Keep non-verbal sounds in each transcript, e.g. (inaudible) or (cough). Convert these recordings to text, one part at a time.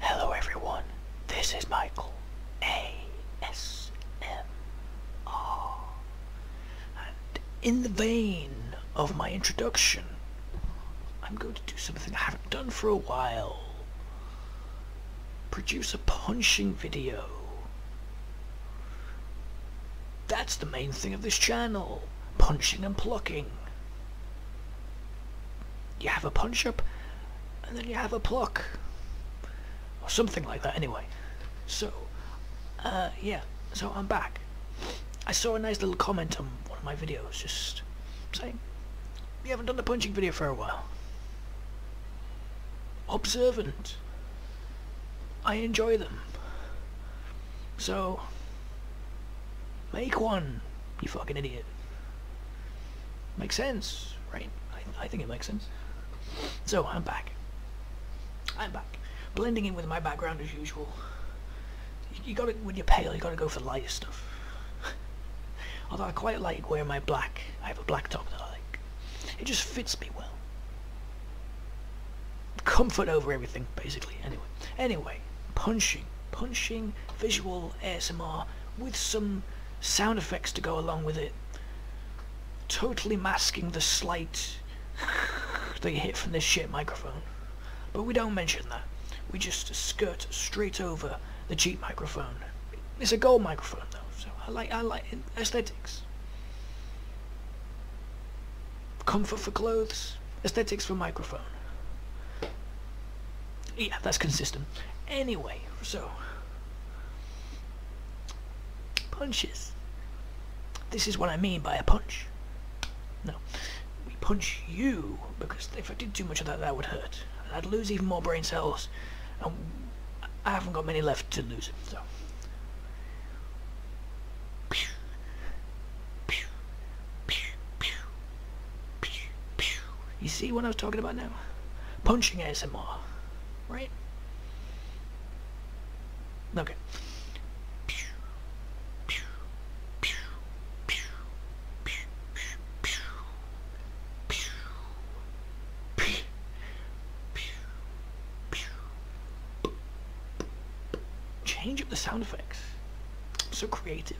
Hello everyone, this is Michael ASMR. And in the vein of my introduction, I'm going to do something I haven't done for a while. Produce a punching video. That's the main thing of this channel. Punching and plucking. You have a punch up, and then you have a pluck. Or something like that anyway. So, uh, yeah, so I'm back. I saw a nice little comment on one of my videos just saying, you haven't done the punching video for a while. Observant. I enjoy them. So, Make one, you fucking idiot. Makes sense, right? I, think it makes sense. So, I'm back. I'm back. Blending in with my background as usual. You, got it when you're pale, you gotta go for the lighter stuff. Although I quite like wearing my black. I have a black top that I like. It just fits me well comfort over everything, basically. Anyway, anyway, punching, punching, visual ASMR with some sound effects to go along with it, totally masking the slight (laughs) that you hit from this shit microphone. But we don't mention that. We just skirt straight over the cheap microphone. It's a gold microphone though, so I like I like aesthetics comfort for clothes, aesthetics for microphone. Yeah, that's consistent. Anyway, so punches. This is what I mean by a punch. No, we punch you because if I did too much of that, that would hurt. And I'd lose even more brain cells, and I haven't got many left to lose. So you see what I was talking about now? Punching ASMR, right? Okay. Change up the sound effects. I'm so creative.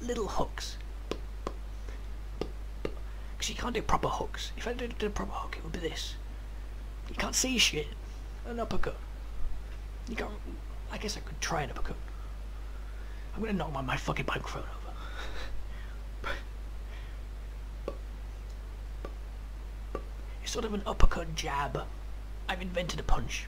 Little hooks. Because you can't do proper hooks. If I did a proper hook, it would be this. You can't see shit. An uppercut. You can't. I guess I could try an uppercut. I'm gonna knock my, fucking bike over. it's sort of an uppercut jab. I've invented a punch.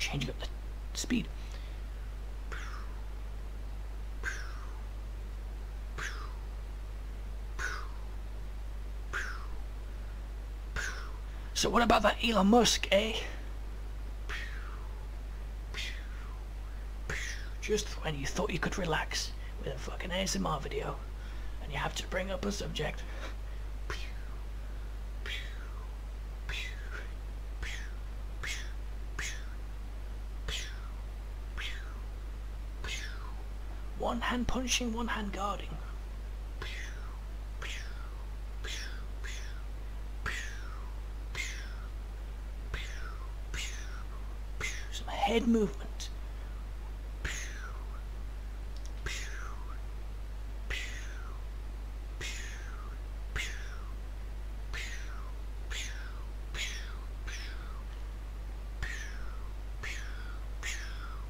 Changing up the speed. So what about that Elon Musk, eh? Just when you thought you could relax with a fucking ASMR video, and you have to bring up a subject. One hand punching, one hand guarding. Some head movement.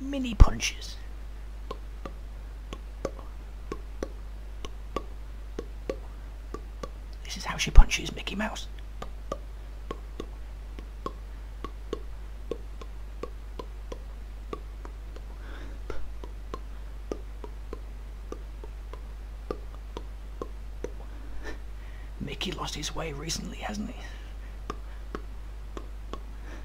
mini punches. This is how she punches Mickey Mouse. Mickey lost his way recently, hasn't he?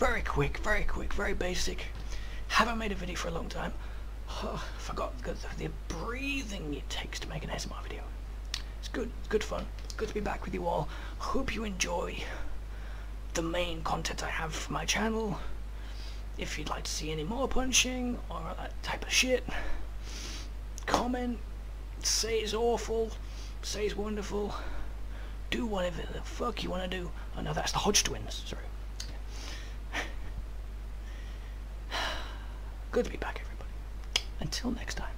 Very quick, very quick, very basic. Haven't made a video for a long time. (sighs) forgot the, the breathing it takes to make an ASMR video. It's good, good fun. good to be back with you all. Hope you enjoy the main content I have for my channel. If you'd like to see any more punching or that type of shit, comment, say it's awful, say it's wonderful, do whatever the fuck you want to do. Oh no, that's the Hodge twins, sorry. (sighs) Good to be back, everybody. Until next time.